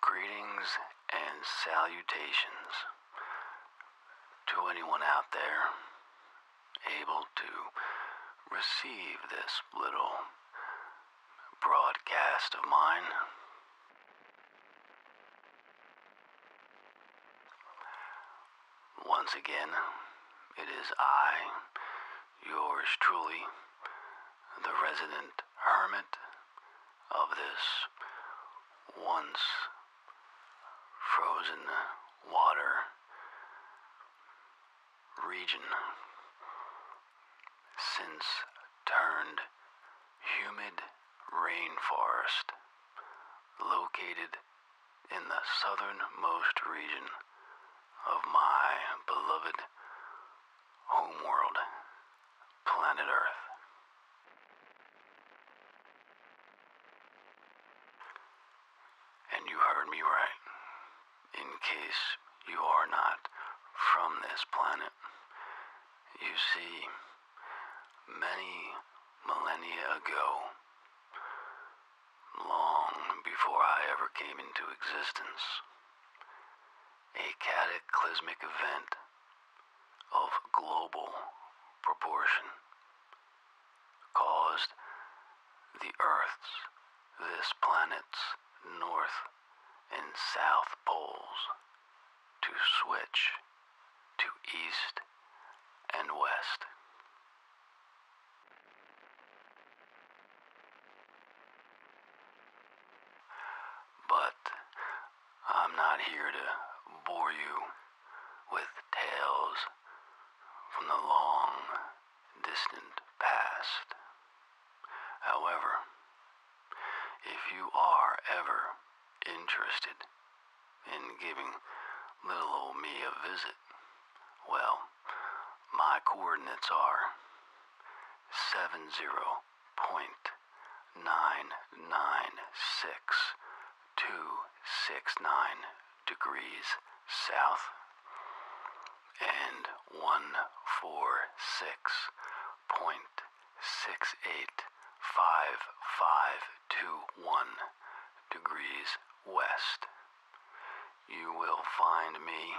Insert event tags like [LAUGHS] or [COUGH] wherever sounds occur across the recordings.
Greetings and salutations to anyone out there able to receive this little broadcast of mine. Once again, it is I, yours truly, the resident hermit of this once frozen water region since turned humid rainforest located in the southernmost region of my beloved homeworld, planet Earth. And you heard me right. In case you are not from this planet, you see, many millennia ago, long before I ever came into existence, a cataclysmic event of global proportion caused the Earth's, this planet's north and south poles to switch to east and west. But I'm not here to bore you with tales from the long, distant past. However, if you are ever interested in giving little old me a visit, well, my coordinates are 70.996269 degrees south and 146.685521 degrees west. You will find me,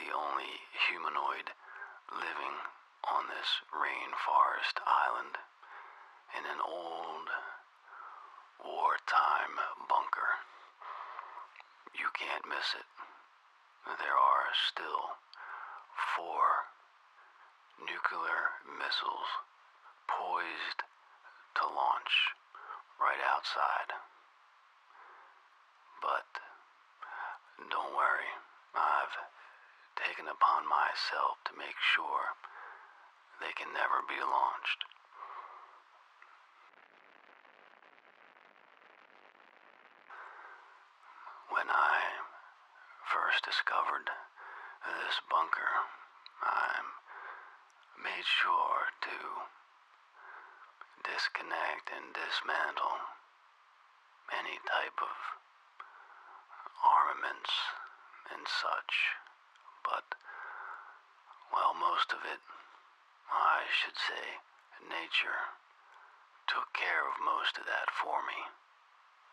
the only humanoid living on this rainforest island, in an old wartime bunker. You can't miss it. There are still four nuclear missiles poised to launch right outside. But don't worry, I've taken upon myself to make sure they can never be launched. When I first discovered this bunker, I made sure to disconnect and dismantle any type of armaments and such. But while most of it, I should say, nature, took care of most of that for me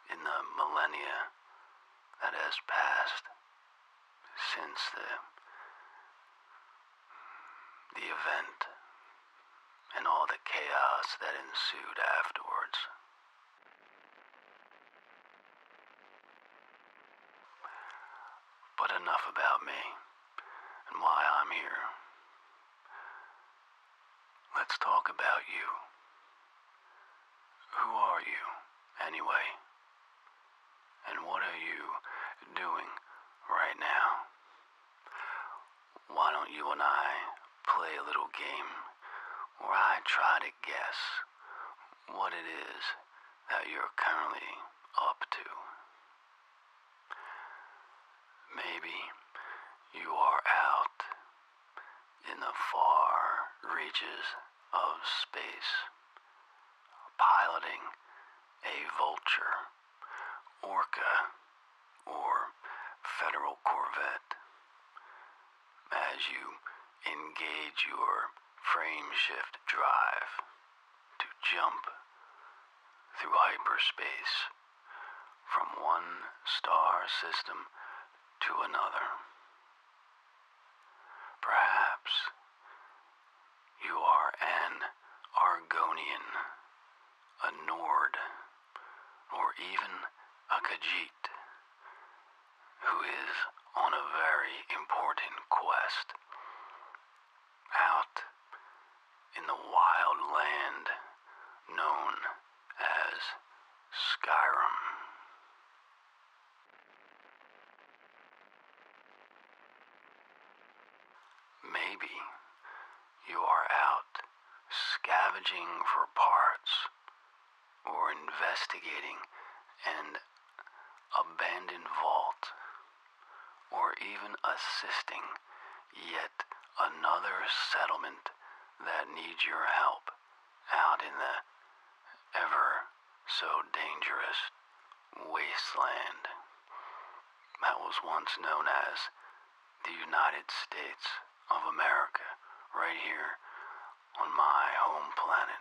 in the millennia that has passed since the the event and all the chaos that ensued afterwards. But enough about me and why I'm here. Let's talk about you. Who are you, anyway? And what are you doing right now? Why don't you and I play a little game where I try to guess what it is that you're currently up to. Maybe you are out in the far reaches of space, piloting a vulture, orca, or federal corvette. As you engage your frame shift drive to jump through hyperspace from one star system to another. Perhaps you are an Argonian, a Nord, or even a Khajiit, who is on a very important quest. Out in the wild land known as Skyrim. Maybe you are out scavenging for parts we investigating an abandoned vault, or even assisting yet another settlement that needs your help out in the ever so dangerous wasteland that was once known as the United States of America, right here on my home planet.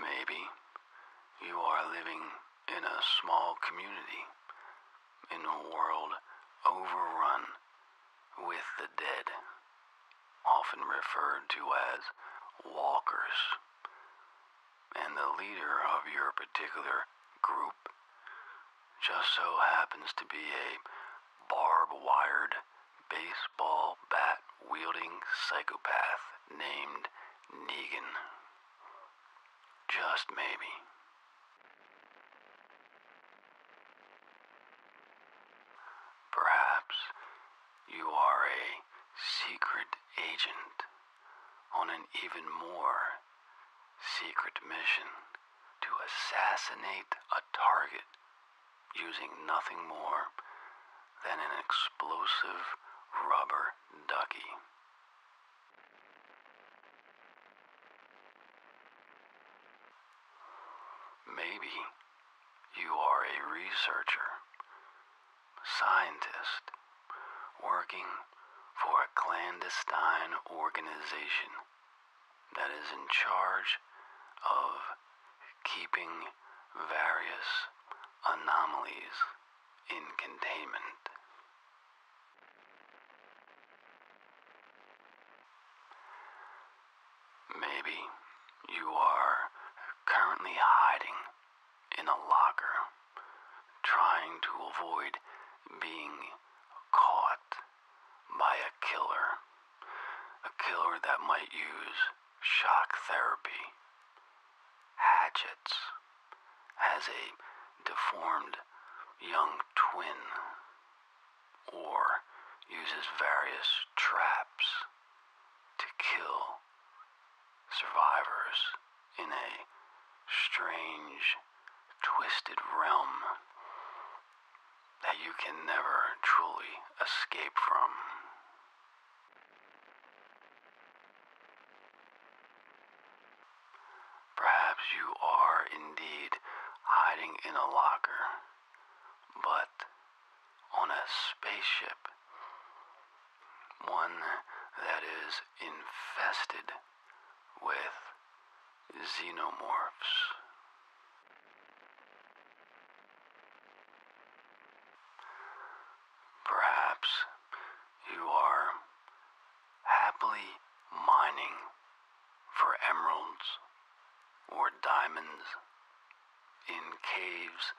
Maybe you are living in a small community in a world overrun with the dead, often referred to as walkers. And the leader of your particular group just so happens to be a barbed wired baseball bat wielding psychopath named Negan. Just maybe. Perhaps you are a secret agent on an even more secret mission to assassinate a target using nothing more than an explosive rubber ducky. Maybe you are a researcher, scientist, working for a clandestine organization that is in charge of keeping various anomalies in containment. Maybe you are currently hiding in a locker, trying to avoid being caught by a killer. A killer that might use shock therapy, hatchets, as a deformed young twin, or uses various traps to kill survivors in a strange, twisted realm that you can never truly escape from. Perhaps you are indeed hiding in a locker, but on a spaceship, one that is infested with xenomorphs. Perhaps you are happily mining for emeralds or diamonds in caves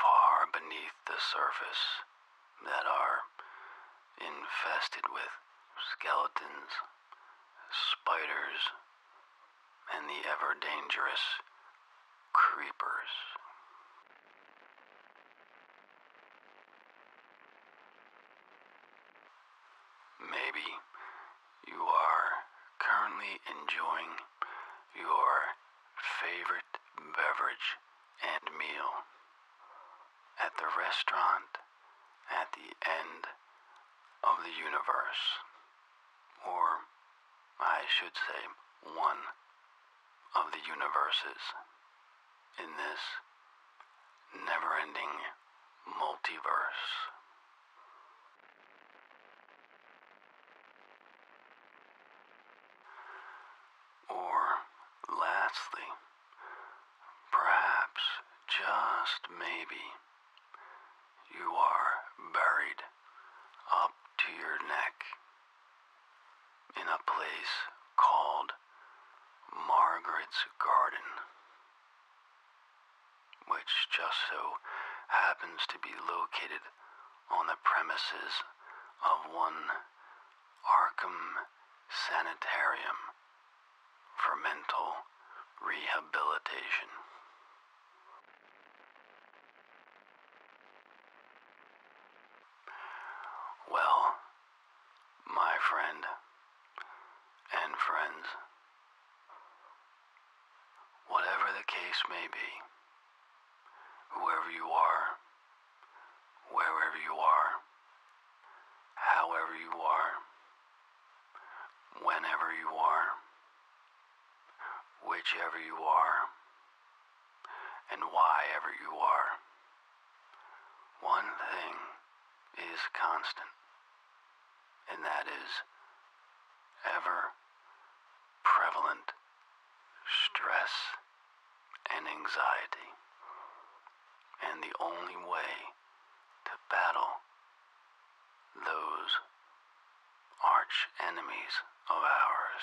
far beneath the surface that are infested with skeletons spiders, and the ever dangerous creepers. Maybe you are currently enjoying your favorite beverage and meal at the restaurant at the end of the universe. Or, I should say, one of the universes. In this never ending multiverse. Or, lastly, Perhaps, just maybe, you are buried up to your neck in a place called Margaret's Garden, which just so happens to be located on the premises of one Arkham Sanitarium for mental rehabilitation. Well, my friend and friends, whatever the case may be, whoever you are, wherever you are, however you are, whenever you are, whichever you are, and whyever you are. One thing is constant, and that is ever prevalent stress and anxiety. And the only way to battle those arch enemies of ours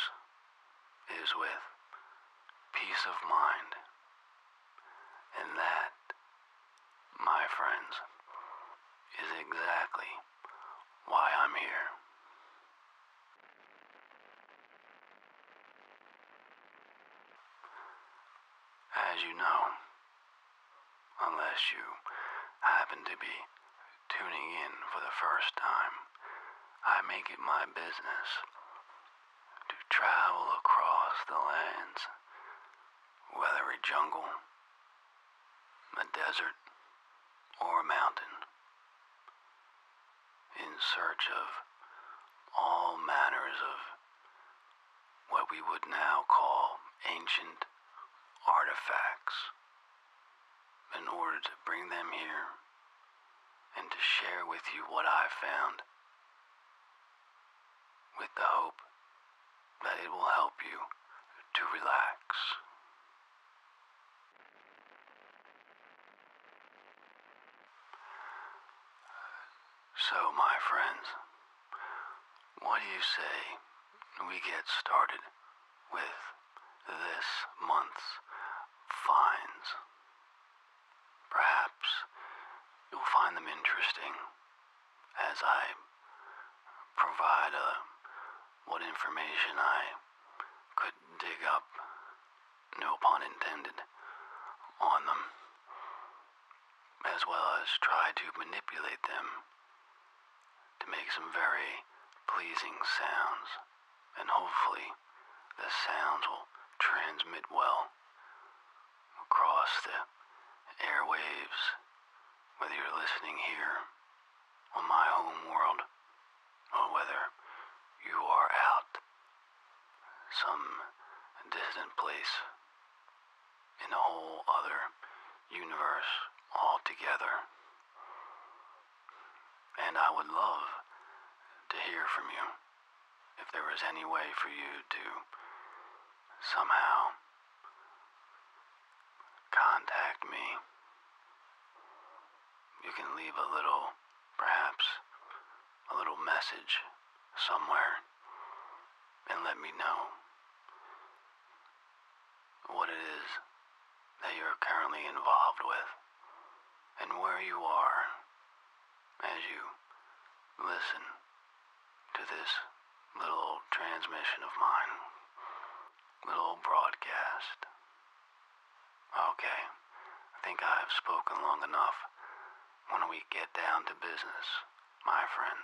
is with peace of mind. And that, my friends, is exactly why I'm here. As you know, Unless you happen to be tuning in for the first time, I make it my business to travel across the lands, weathery jungle, the desert, or a mountain, in search of all manners of what we would now call ancient artifacts, in order to bring them here and to share with you what I have found, with the hope that it will help you to relax. So, my friends, what do you say we get started with this month's finds? Perhaps you'll find them interesting as I provide a, uh, what information I could dig up, no pun intended, on them as well as try to manipulate them to make some very pleasing sounds. And hopefully, the sounds will transmit well across the airwaves, whether you're listening here on my home world or whether you are out some distant place in a whole other universe altogether. And I would love to hear from you if there was any way for you to somehow contact me. You can leave a little, perhaps, a little message somewhere and let me know what it is that you're currently involved with and where you are as you listen to this little transmission of mine, little broadcast. Okay, I think I have spoken long enough. When we get down to business, my friend.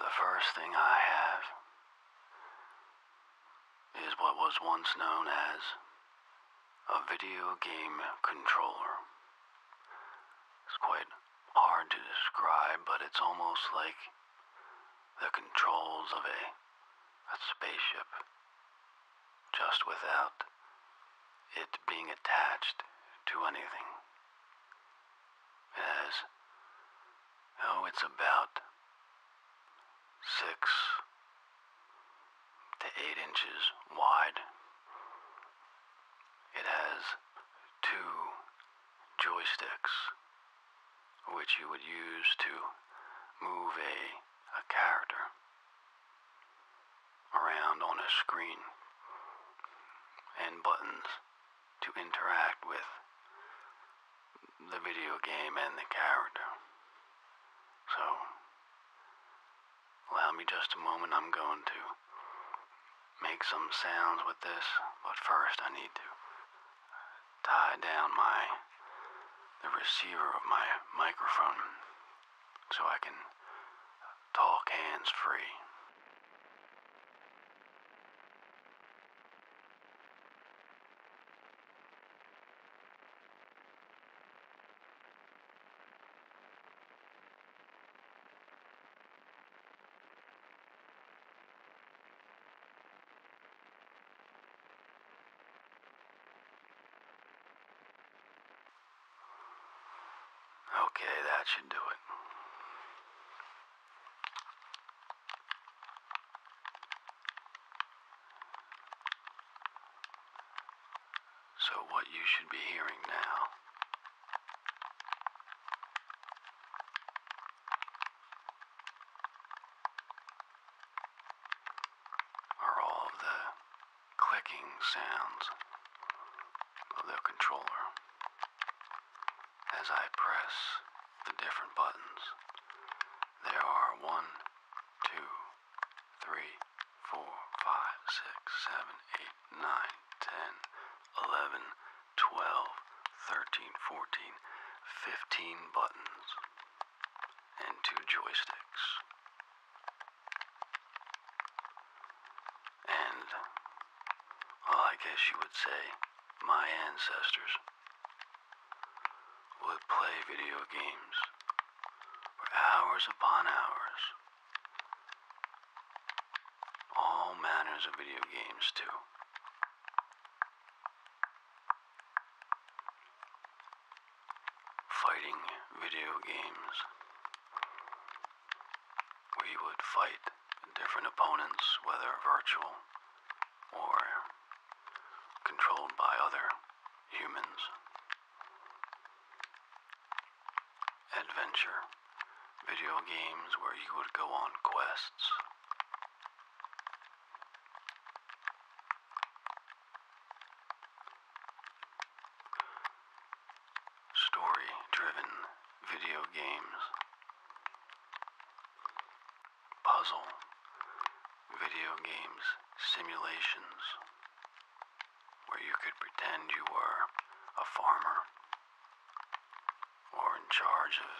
The first thing I have is what was once known as a video game controller. It's quite hard to describe, but it's almost like the controls of a, a spaceship, just without it being attached to anything as oh, it's about six to eight inches wide. It has two joysticks, which you would use to move a, a character around on a screen, and buttons to interact with the video game and the character. So, allow me just a moment. I'm going to make some sounds with this, but first I need to tie down my the receiver of my microphone so I can talk hands free. Okay, that should do it. So, what you should be hearing now are all the clicking sounds of the controller as I press the different buttons, there are one, two, three, four, five, six, seven, eight, nine, ten, eleven, twelve, thirteen, fourteen, fifteen buttons and two joysticks. And well, I guess you would say my ancestors, would play video games for hours upon hours. All manners of video games, too. Fighting video games. We would fight different opponents, whether virtual or controlled by other humans. Adventure video games where you would go on quests. Story driven video games Puzzle, video games, simulations, where you could pretend you were a farmer or in charge of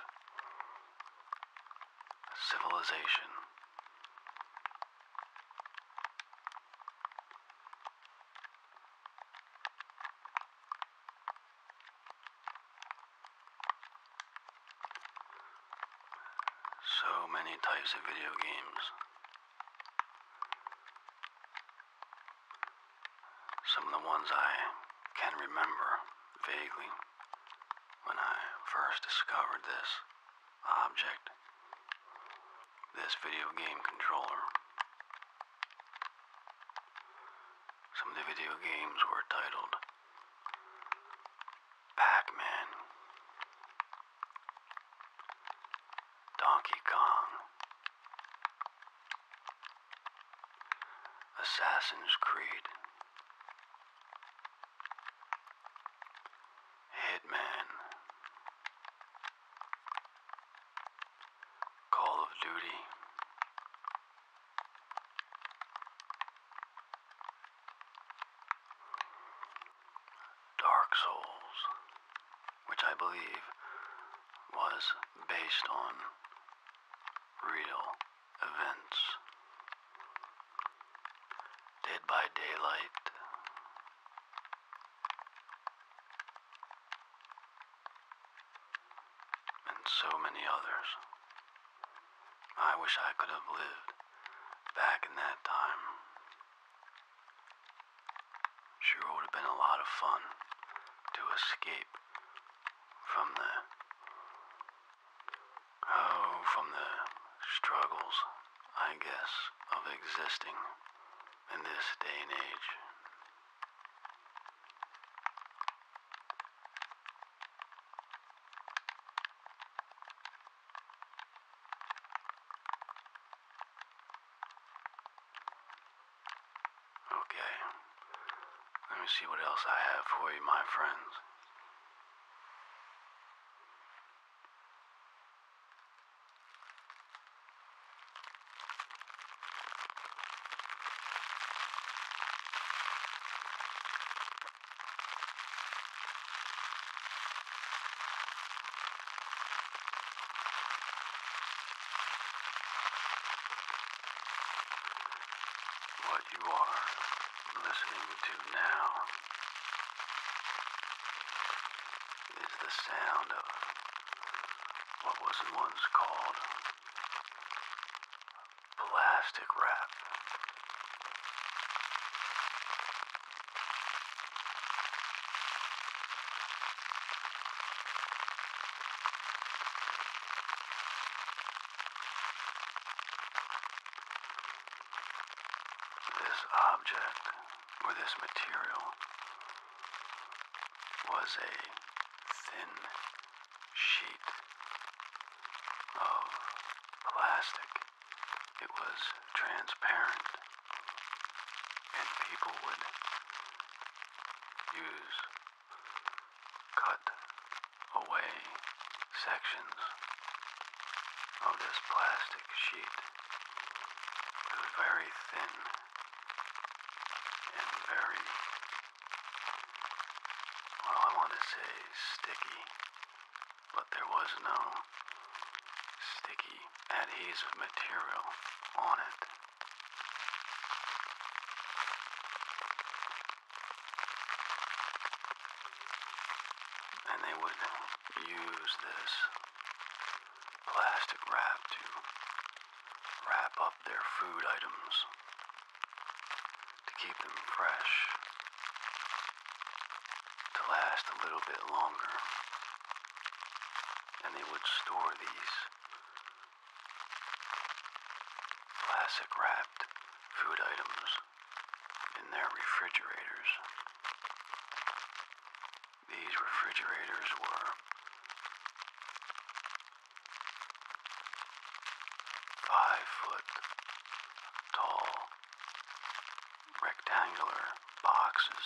civilization. So many types of video games. Some of the ones I can remember vaguely when I first discovered this object, this video game controller. Some of the video games were titled Pac Man, Donkey Kong, Assassin's Creed. Hitman, Call of Duty. Dark Souls, which I believe was based on real events. Dead by Daylight and so many others. I wish I could have lived back in that time. Sure would have been a lot of fun to escape from the oh, from the struggles, I guess, of existing in this day and age. Okay. Let me see what else I have for you, my friends. What you are listening to now is the sound of what was once called plastic wrap. This object or this material was a thin sheet of plastic. It was transparent, and people would use cut away sections of this plastic sheet. It was very thin and very well, I want to say sticky, but there was no sticky adhesive material on it. And they would use this plastic wrap to wrap up their food items to keep them fresh, to last a little bit longer. And they would store these plastic wrapped food items in their refrigerators. These refrigerators were Five foot tall rectangular boxes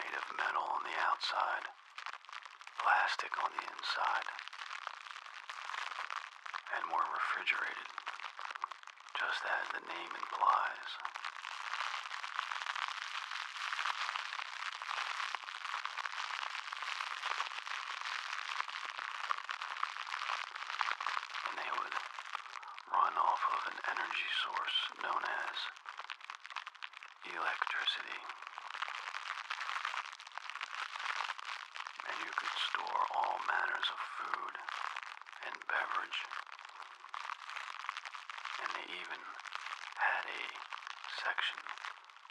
made of metal on the outside, plastic on the inside, and more refrigerated, just as the name implies. And they would run off of an energy source known as electricity. And you could store all manners of food and beverage. And they even had a section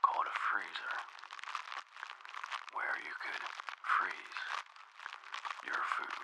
called a freezer, where you could freeze your food.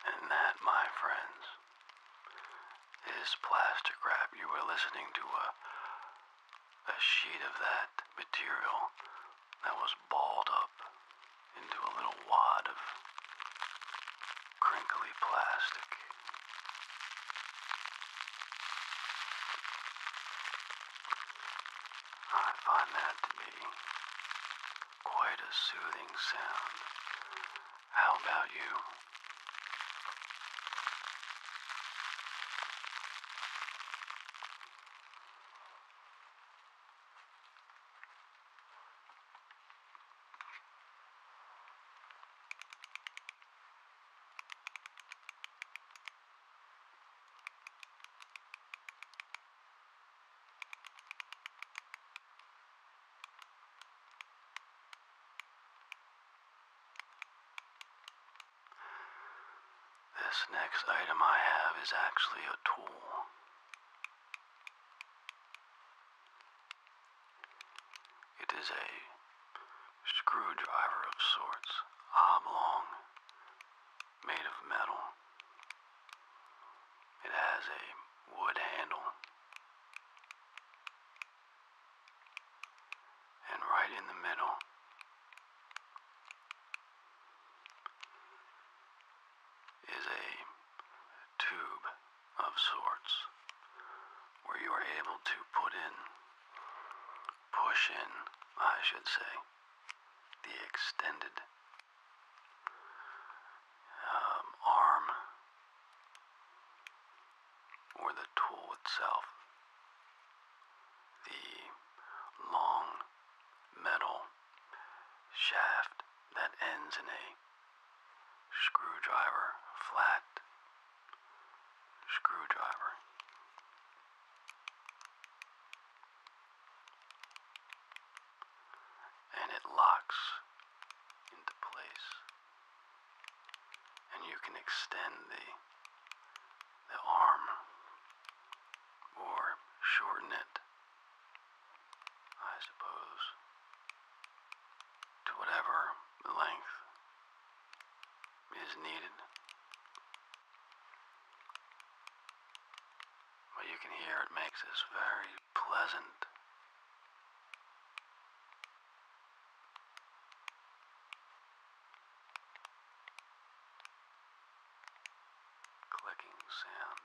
And that, my friends, is Plaster Crab. You were listening to a, a sheet of that material that was balled up into a little wad of crinkly plastic. I find that to be quite a soothing sound. How about you? This next item I have is actually a tool. It is a screwdriver of sorts, oblong, made of metal. It has a wood handle. And right in the middle is a tube of sorts where you are able to put in, push in, I should say, the extended um, arm or the tool itself. The long metal shaft that ends in a screwdriver, flat screwdriver. And it locks into place. And you can extend the the arm or shorten it I suppose, to whatever length is needed. But you can hear it makes this very pleasant. Clicking sound.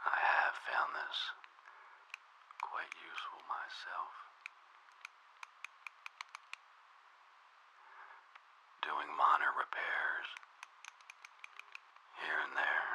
I have found this quite useful myself. Doing minor repairs here and there.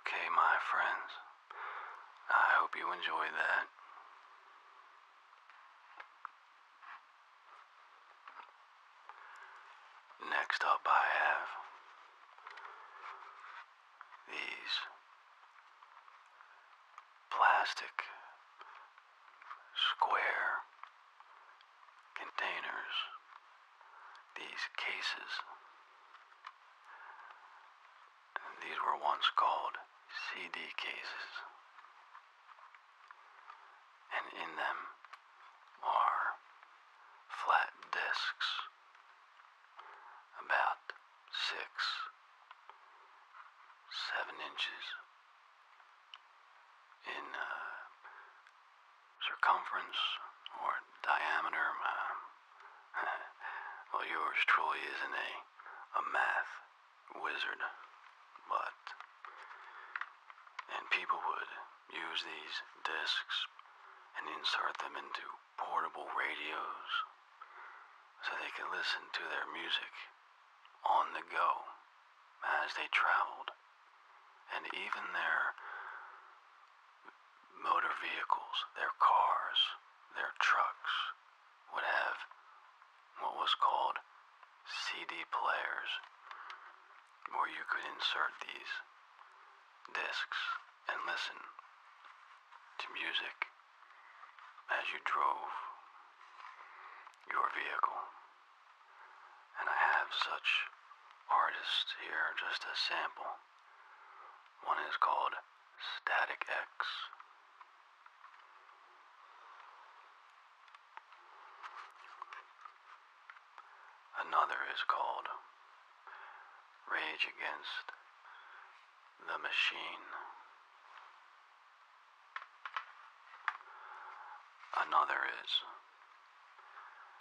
Okay, my friends. I hope you enjoyed that. Next up, I have these plastic square containers, these cases. These were once called CD cases and in them are flat discs about six, seven inches in uh, circumference or diameter. [LAUGHS] well, yours truly isn't a, a math wizard, but and people would use these discs and insert them into portable radios so they could listen to their music on the go as they traveled. And even their motor vehicles, their cars, their trucks would have what was called CD players or you could insert these discs and listen to music as you drove your vehicle. And I have such artists here just as sample. One is called Static X. Another is called Rage Against the Machine. Another is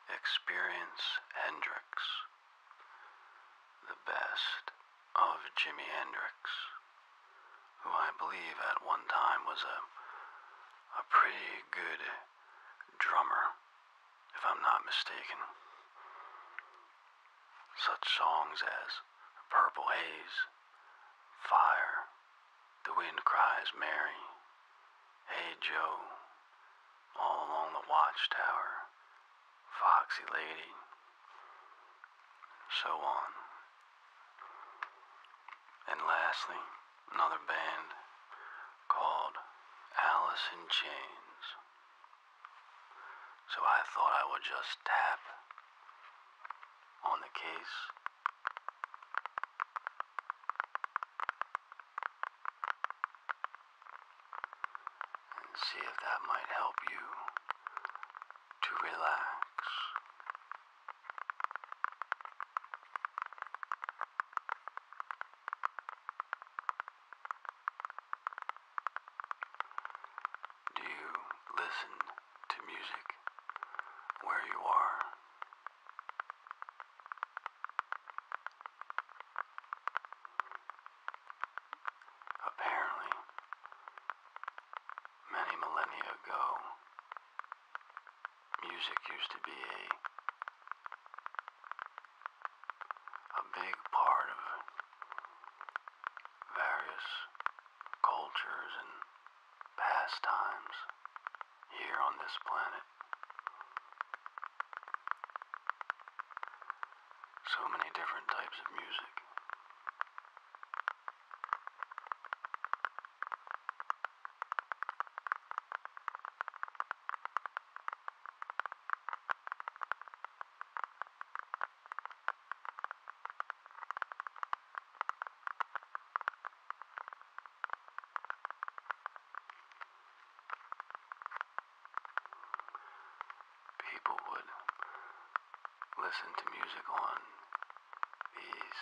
Experience Hendrix, the best of Jimi Hendrix, who I believe at one time was a a pretty good drummer, if I'm not mistaken. Such songs as Purple Haze, Fire, The Wind Cries Mary, Hey Joe, All Along the Watchtower, Foxy Lady, so on. And lastly, another band called Alice in Chains. So I thought I would just tap on the case. And see if that might help you to relax. Do you listen to music where you are? Apparently, many millennia ago, music used to be a a big part of various cultures and pastimes here on this planet. So many different types of music. People would listen to music on these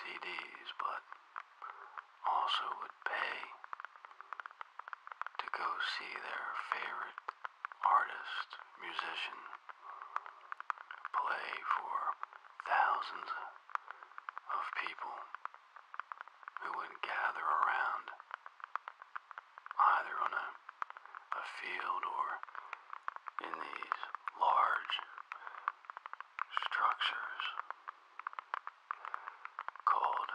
CDs, but also would pay to go see their favorite artist, musician play for thousands of people who would gather around either on a, a field or in these large structures called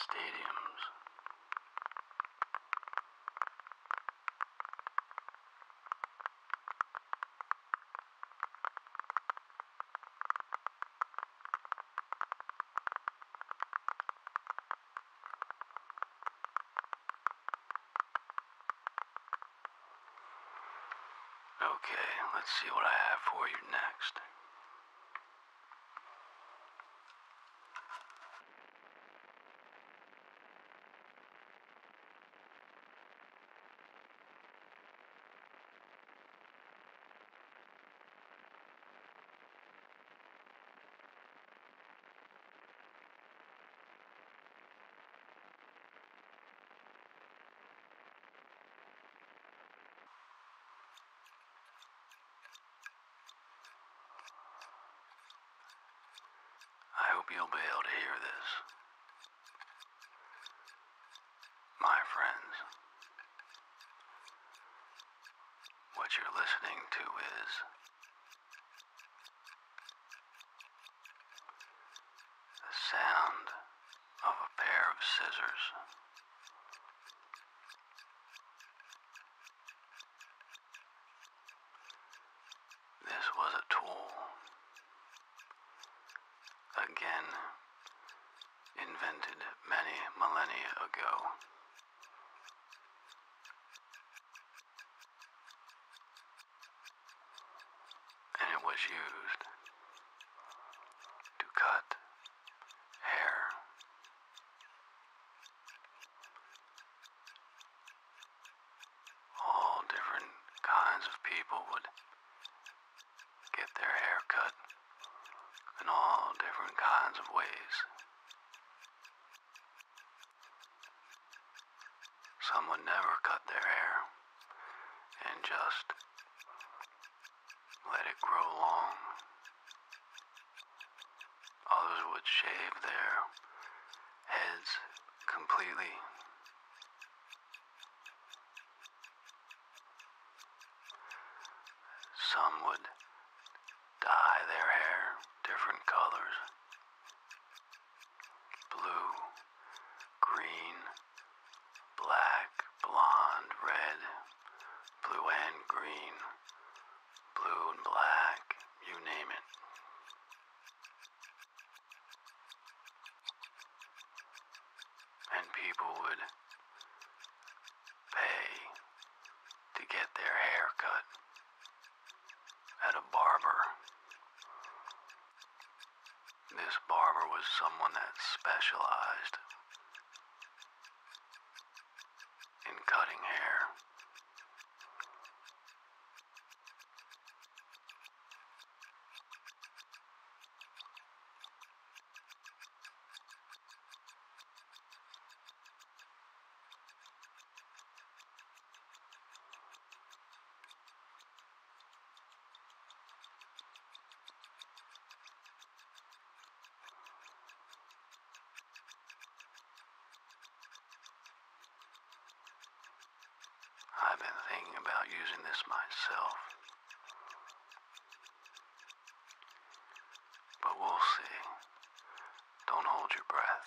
stadiums. Okay, let's see what I have for you next. I hope you'll be able to hear this. My friends, what you're listening to is the sound of a pair of scissors. This was a tool, again invented many millennia ago and it was used to cut hair. All different kinds of people would get their hair cut in all different kinds of ways. Some would never cut their hair and just let it grow long. Others would shave their heads completely. Some would dye their hair different colors blue, green, black, blond, red, blue and green, blue and black, you name it. And people would pay to get their hair cut at a barber this barber was someone that specialized in cutting hair. I've been thinking about using this myself. But we'll see. Don't hold your breath.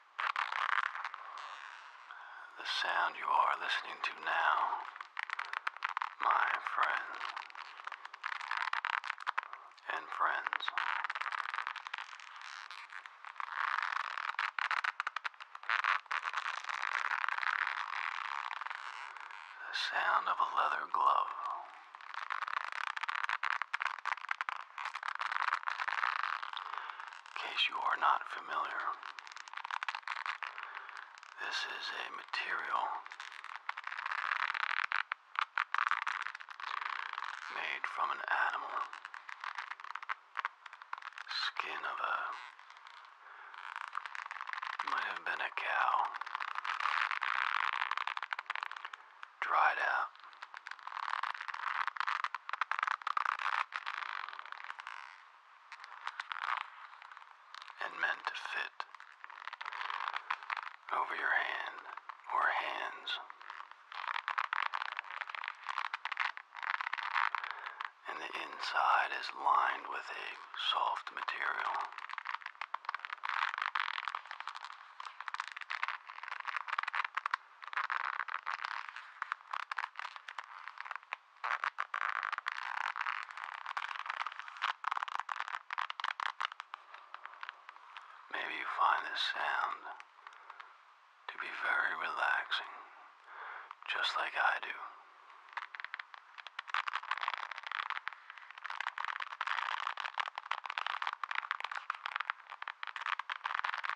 The sound you are listening to now, my friend and friends. The sound of a leather glove. In case you are not familiar, this is a material made from an animal, skin of a might have been a cow dried out. And meant to fit over your hand or hands. And the inside is lined with a soft material. Maybe you find this sound to be very relaxing, just like I do.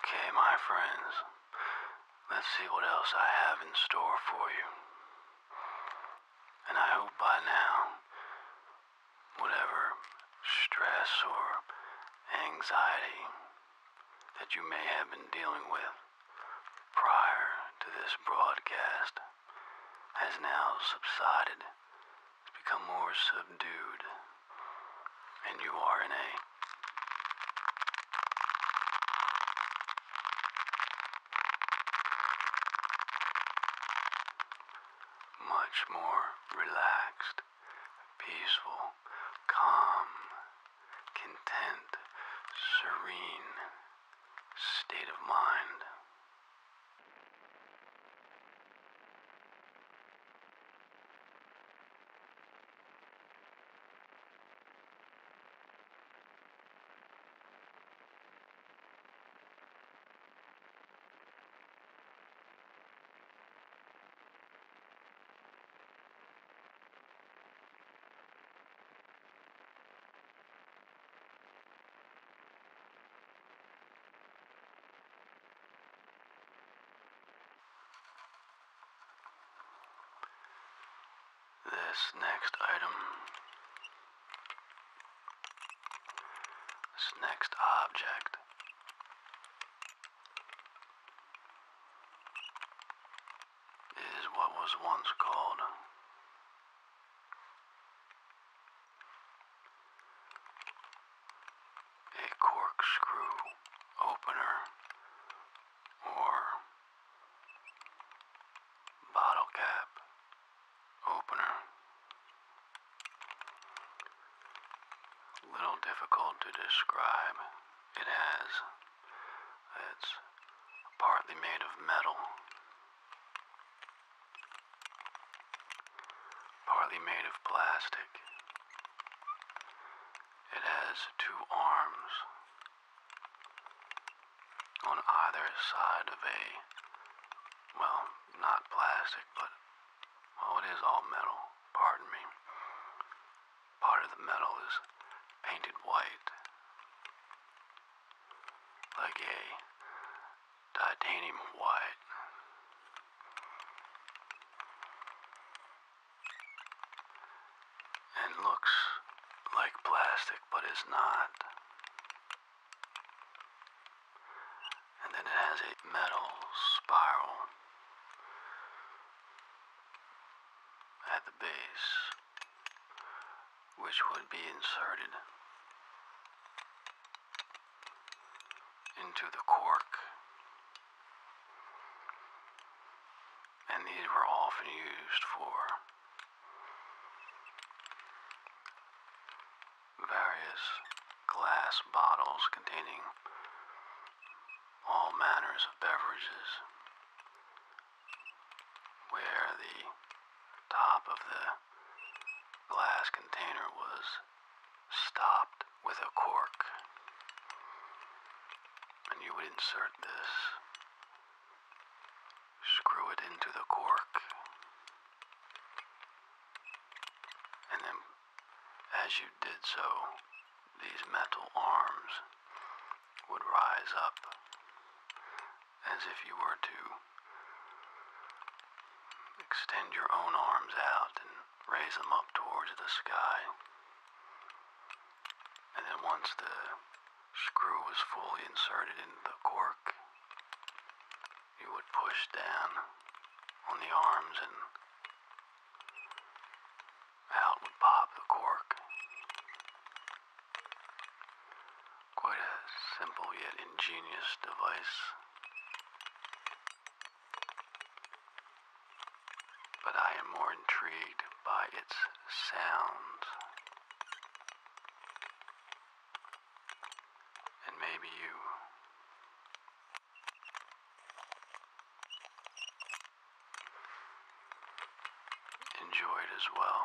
Okay, my friends, let's see what else I have in store for you. And I hope by now whatever stress or anxiety that you may have been dealing with prior to this broadcast has now subsided. It's become more subdued. And you are in a much more relaxed, peaceful, calm, content, serene state of mind. This next item this next object is what was once called a corkscrew opener or bottle cap opener. Little difficult to describe. It has. It's partly made of metal, partly made of plastic. It has two arms on either side of a, well, not plastic, but oh, it is all metal. Pardon me. Part of the metal is painted white, like a titanium white. And looks like plastic, but is not. And then it has a metal spiral at the base, which would be inserted into the cork. And these were often used for various glass bottles containing all manners of beverages, where the top of the glass container was stopped with a cork. And you would insert this, screw it into the cork, and then, as you did so, these metal arms would rise up as if you were to extend your own arms out and raise them up towards the sky. And then once the screw was fully inserted in the cork, you would push down on the arms and out would pop the cork. Quite a simple yet ingenious device. But I am more intrigued by its sound. And maybe you. Enjoy it as well.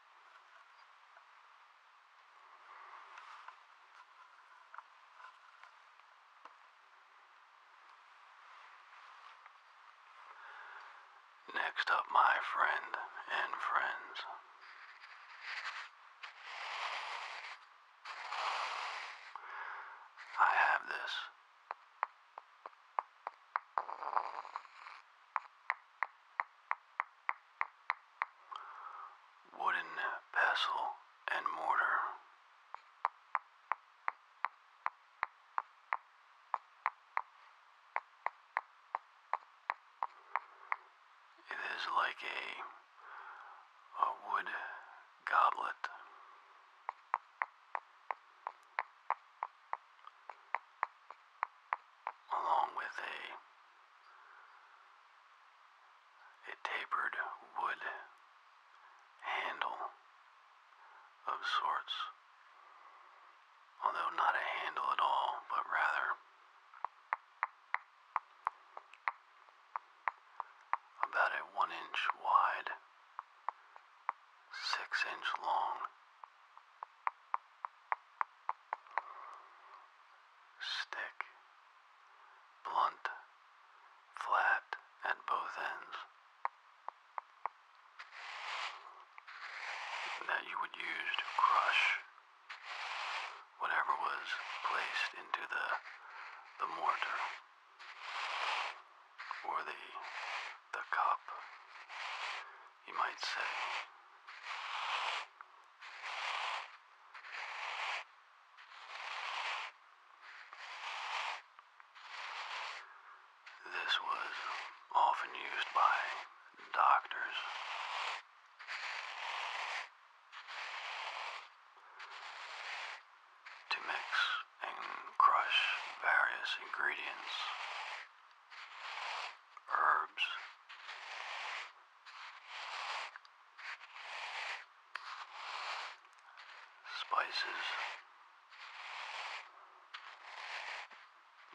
Next up, my friend and friends. I have this wooden pestle and mortar. It is like a, a wood goblet along with a a tapered wood handle of sorts, although not a handle at all, but rather about a one inch wide, six inch long Stick. Blunt. Flat at both ends. That you would use to crush whatever was placed into the, the mortar or the, the cup you might say. This was often used by doctors. To mix and crush various ingredients herbs. Spices.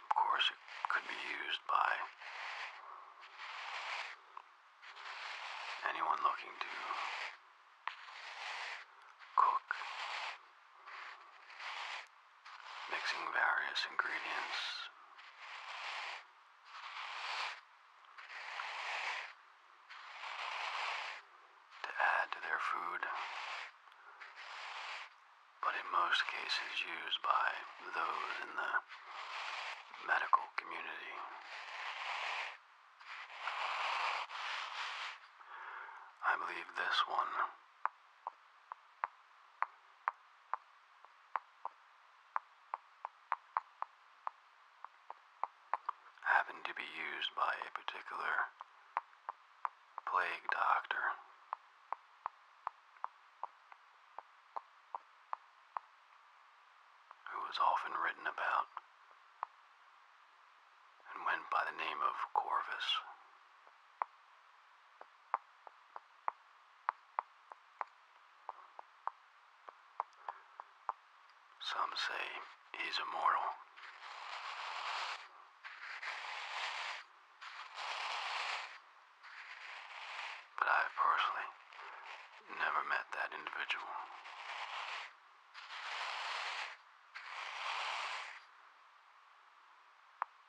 Of course, it could be used by anyone looking to cook mixing various ingredients. To add to their food, but in most cases used by those in the medical community. I believe this one happened to be used by a particular plague doctor. Who was often written about and went by the name of Corvus. Some say he's immortal. But I personally never met that individual.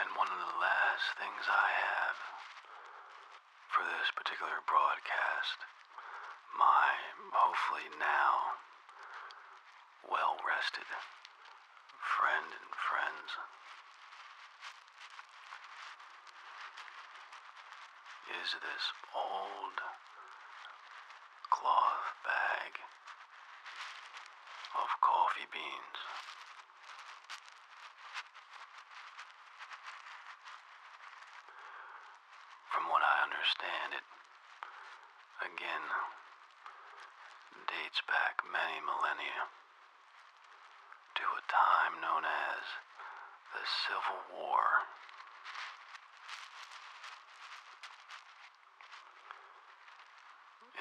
And one of the last things I have for this particular broadcast, my hopefully now well rested, friend and friends. Is this old cloth bag of coffee beans? From what I understand, it, again, dates back many millennia to a time known as the Civil War.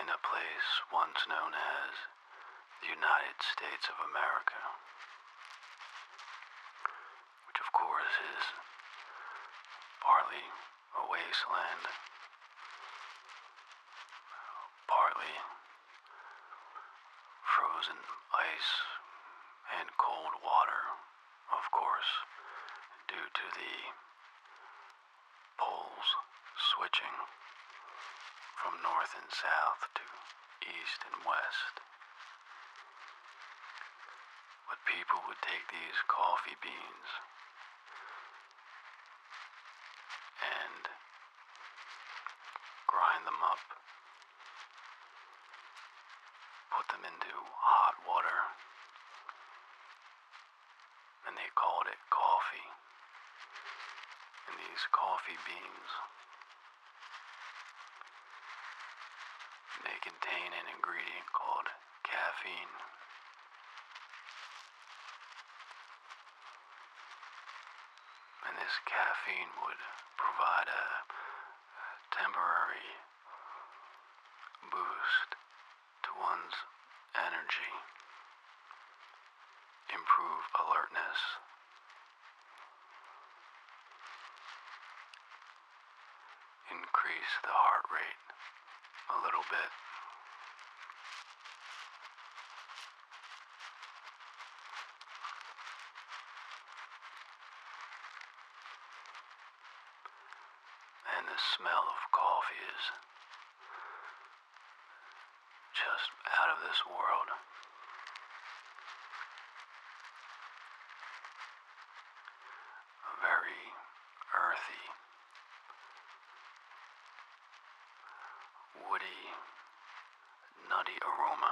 In a place once known as the United States of America which of course is partly a wasteland, partly frozen ice and cold water, of course, due to the poles switching from north and south to east and west what people would take these coffee beans and grind them up, put them into hot water, and they called it coffee. And these coffee beans. They contain an ingredient called caffeine. And this caffeine would provide a, temporary boost to one's energy, improve alertness, increase the heart rate a little bit. And the smell of coffee is just out of this world very earthy, woody, nutty aroma.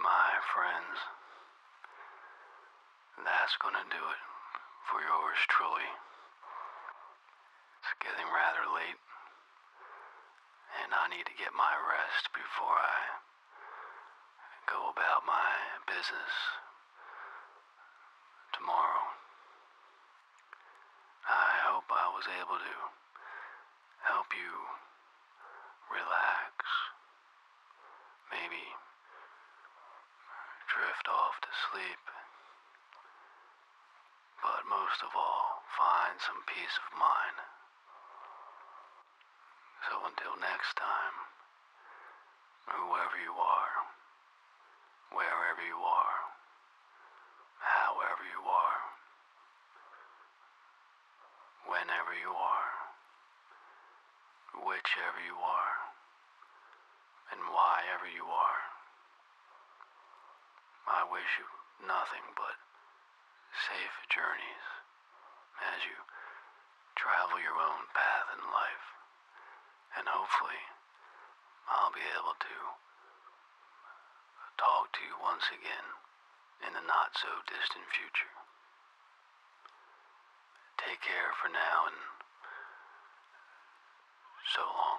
my friends. That's gonna do it for yours truly. It's getting rather late, and I need to get my rest before I go about my business tomorrow. I hope I was able to help you relax. Maybe drift off to sleep. But most of all, find some peace of mind. So until next time, whoever you are, wherever you are, however you are, whenever you are, whichever you are, and whyever you are. I wish you nothing but safe journeys as you travel your own path in life, and hopefully I'll be able to talk to you once again in the not so distant future. Take care for now and so long.